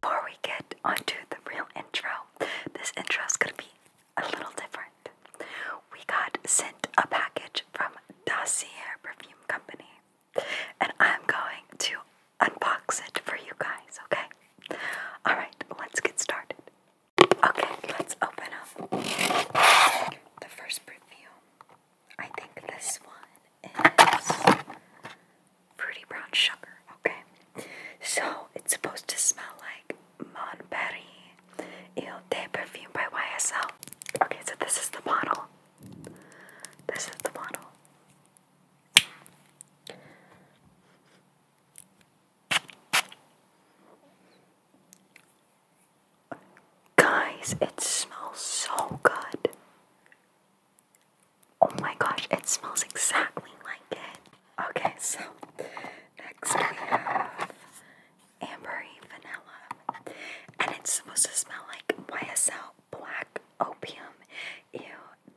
Before we get onto the real intro, this intro is going to be a little different. We got sent a package from Dossier Perfume Company and I'm going to unbox it for you guys, okay? Alright, let's get started. Okay, let's open up the first perfume. I think this one is Pretty brown sugar, okay? So it's supposed to smell like Mon Perry Eau de Perfume by YSL. Okay, so this is the bottle. This is the bottle. Guys, it smells so good. Oh my gosh, it smells exactly like it. Okay, so next we have ambery vanilla. And it's supposed to smell like YSL black opium. Ew,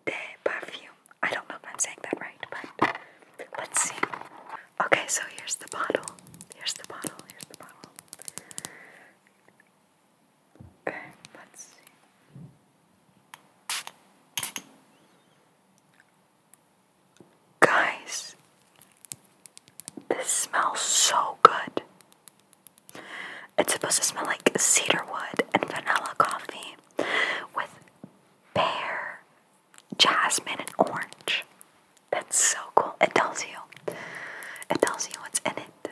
de Parfum. I don't know if I'm saying that right, but let's see. Okay, so here's the bottle. Here's the bottle. Here's the bottle. let's see. Guys, this smells so good. It's supposed to smell like cedar wood and vanilla coffee with pear, jasmine, and orange. That's so cool. It tells you. It tells you what's in it.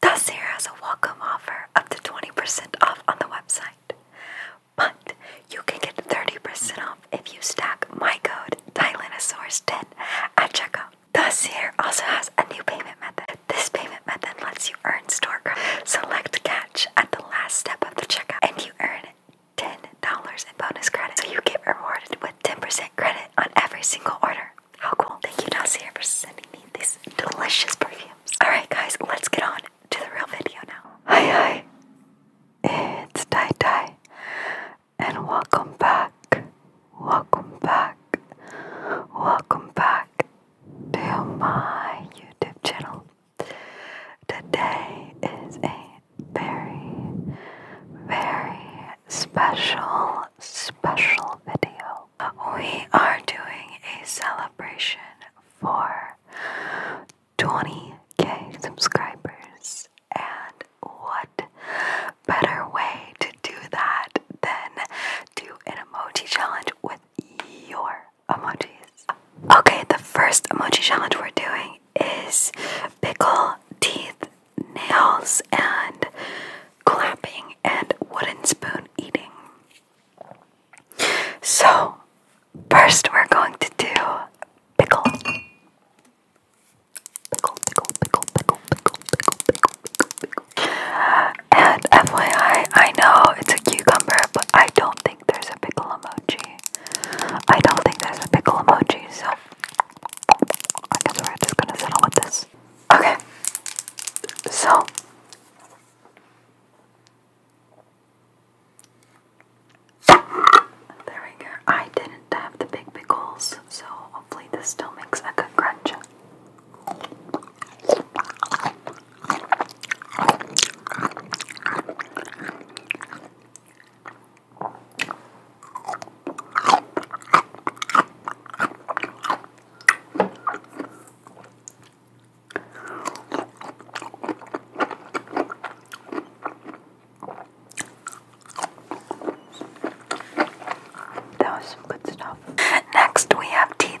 Dossier has a welcome offer up to 20% off on the website. But you can get 30% off if you stack my code Tyrannosaurus 10 at checkout. Dossier also has a new payment method. This payment method lets you earn store credit. select catch at the last step of the checkout, and you earn $10 in bonus credit. So you get rewarded with 10% credit on every single order. How cool! Thank you, Dossier, for sending me these delicious perfumes. Alright, guys, let's get on to the real video now. Hi, hi. It's Tai Tai, and welcome back. Welcome back. Welcome back to my YouTube channel. Today is a very, very special, special video. We are doing a celebration for 20k subscribers, and what better way to do that than do an emoji challenge with your emojis. Okay, the first emoji challenge we're doing is pickle, teeth, nails, and clapping and wooden spoon eating. So, first we're going to do pickle. pickle, and FYI, I know it's a cucumber, but I don't think there's a pickle emoji. I don't think there's a pickle emoji, so I guess we're just gonna settle with this. Okay, so. There we go. I didn't have the big pickles, so hopefully this still makes a good crunch. That was some good stuff. Next, we have teeth.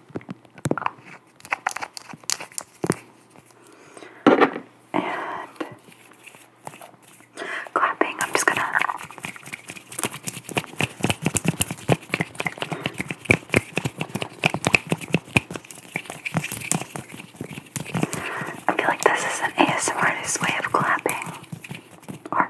And clapping, I'm just gonna I feel like this is an ASMR's way of clapping. Or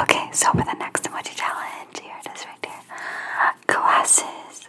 Okay, so for the next emoji challenge, here it is right there. Glasses.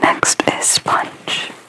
Next is sponge.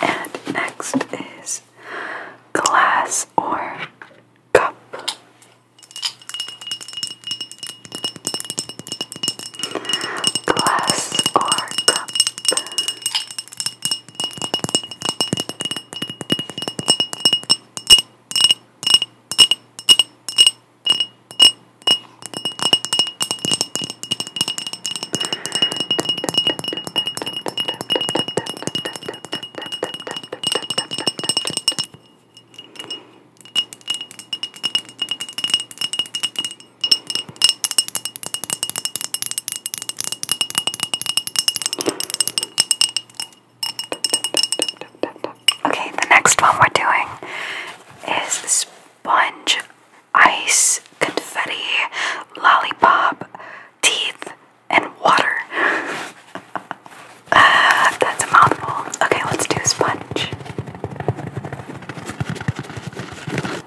And next is glass or cup glass or cup. Okay, the next one we're doing is sponge, ice, confetti, lollipop, teeth, and water. uh, that's a mouthful. Okay, let's do sponge.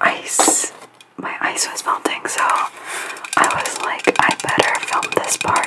Ice. My ice was melting, so I was like, I better film this part.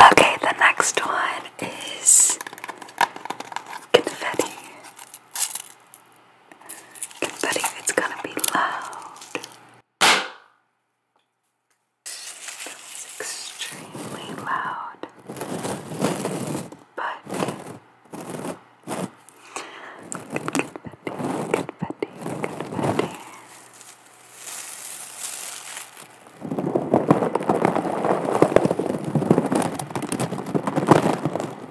Okay, the next one is confetti. Confetti. it's gonna be loud, extremely loud. But confetti, confetti, confetti.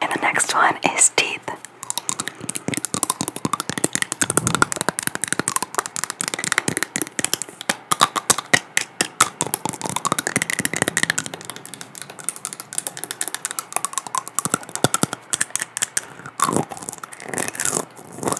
And the next one is teeth.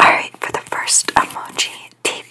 Alright, for the first emoji, teeth.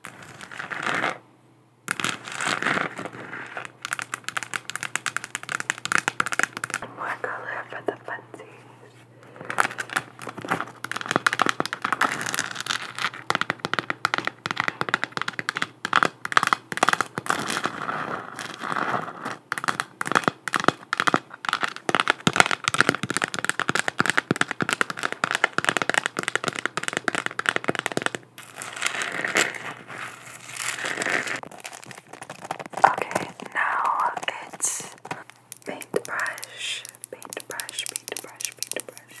More color for the funsies. Okay, now it's paintbrush, paintbrush, paintbrush, paintbrush.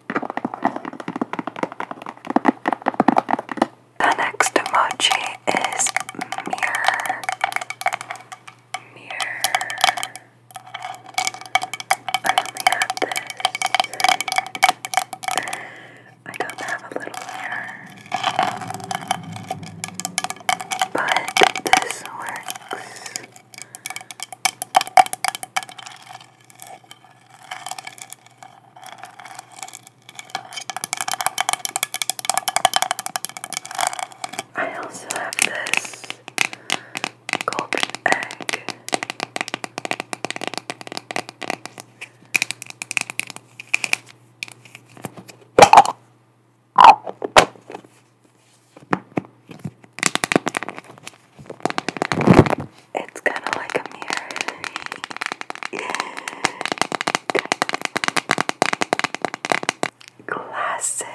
The next emoji is mirror. Mirror. I only have this. I do have a little mirror. But this works. I also have this golden egg. It's kind of like a mirror. Glasses.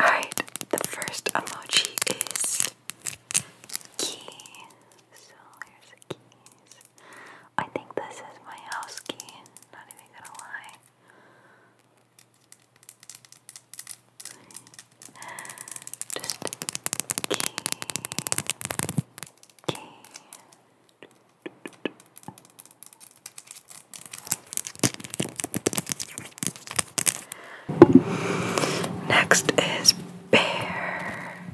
Alright, the first emoji is Keys. So here's the keys. I think this is my house key. Not even gonna lie. Just key. Key. Next is bear.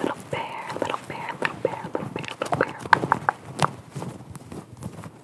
Little bear, little bear, little bear, little bear, little bear.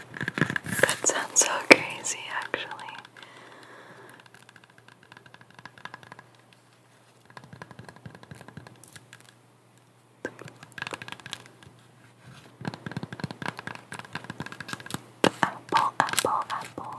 That sounds so crazy, actually. Apple, apple, apple.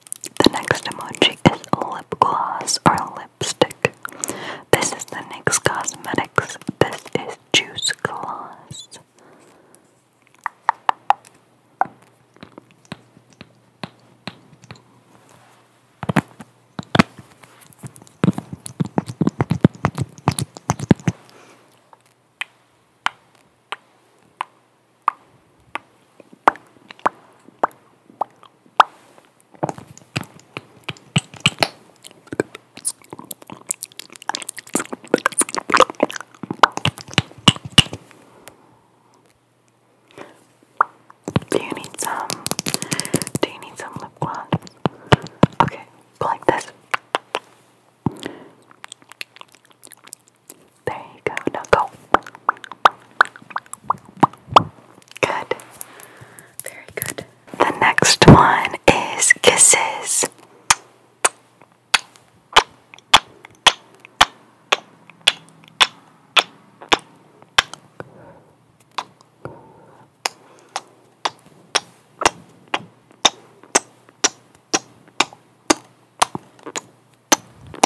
The next emoji is lip gloss or lipstick. This is the next Cosmetics. This is Juice Gloss. Do you need some? Do you need some lip gloss? Okay, like this. There you go. Now go. Good. Very good. The next one is kisses and deep.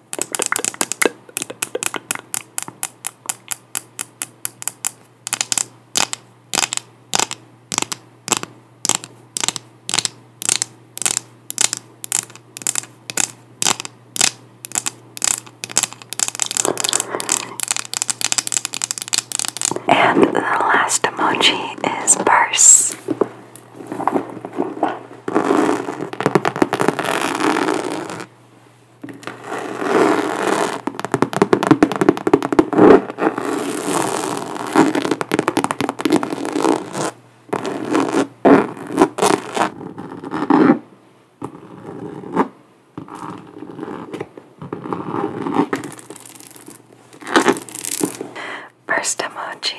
And the last emoji is purse. First emoji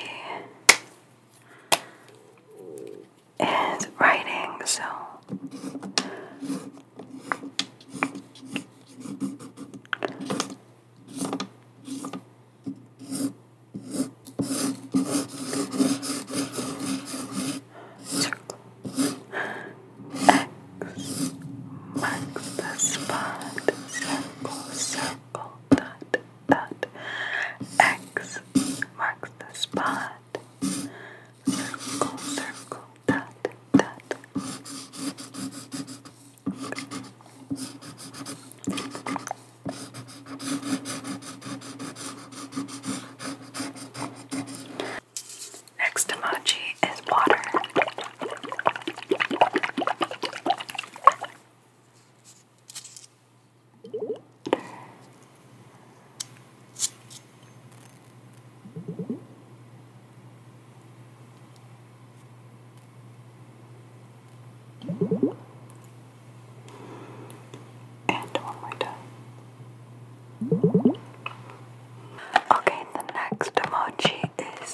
is writing, so X marks the spot. Circle, circle, dot, dot X marks the spot. Circle, circle, dot, dot. Next emoji is water. And one more time. Okay, the next emoji is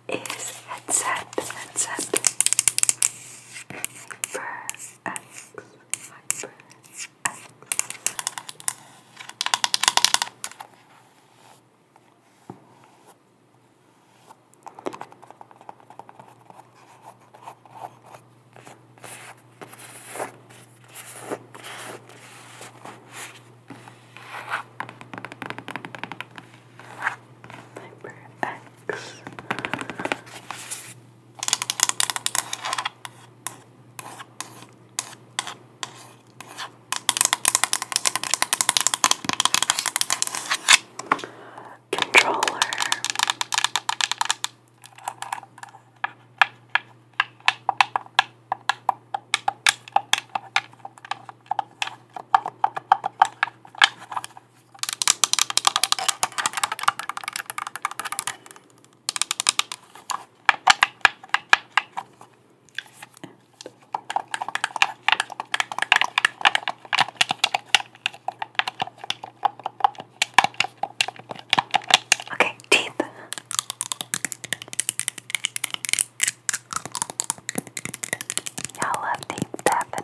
is headset, headset. Hyper X, Hyper X. Hyper X six. Controller. Okay, teeth. Y'all love deep tapping.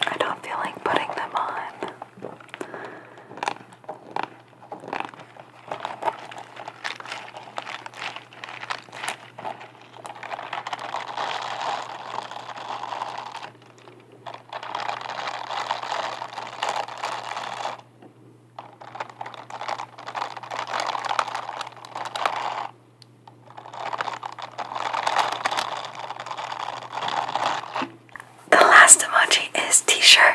I don't feel like putting them on. The last emoji is t shirt.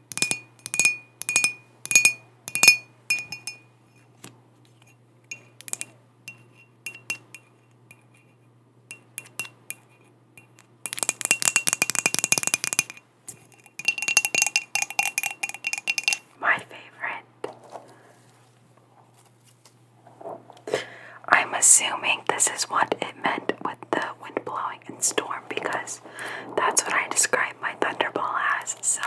My favorite. I'm assuming this is what it meant with the wind blowing and storm because that's what I describe my thunderball as. So,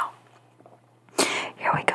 here we go.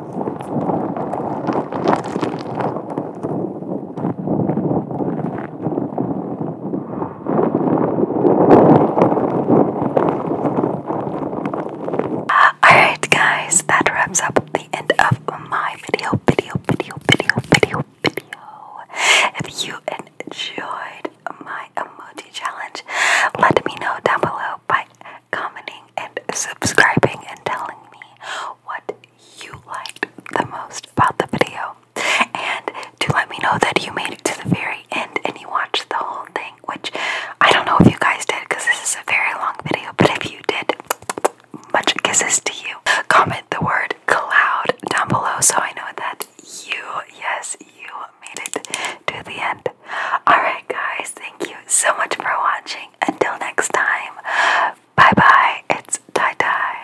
Alright, guys, that wraps up the end of my video, video, video, video, video, video. If you enjoyed my emoji challenge, let me know down below by commenting and subscribing and telling me what you liked the most about the video. And to let me know that you made it to the very end and you watched the whole thing, which I don't know if you guys did because this is a very long video, but if you did, much kisses to you. Comment the word cloud down below so I know that you, yes, you made it to the end. Alright, guys, thank you so much for watching. Until next time, bye bye. It's Tie Tie.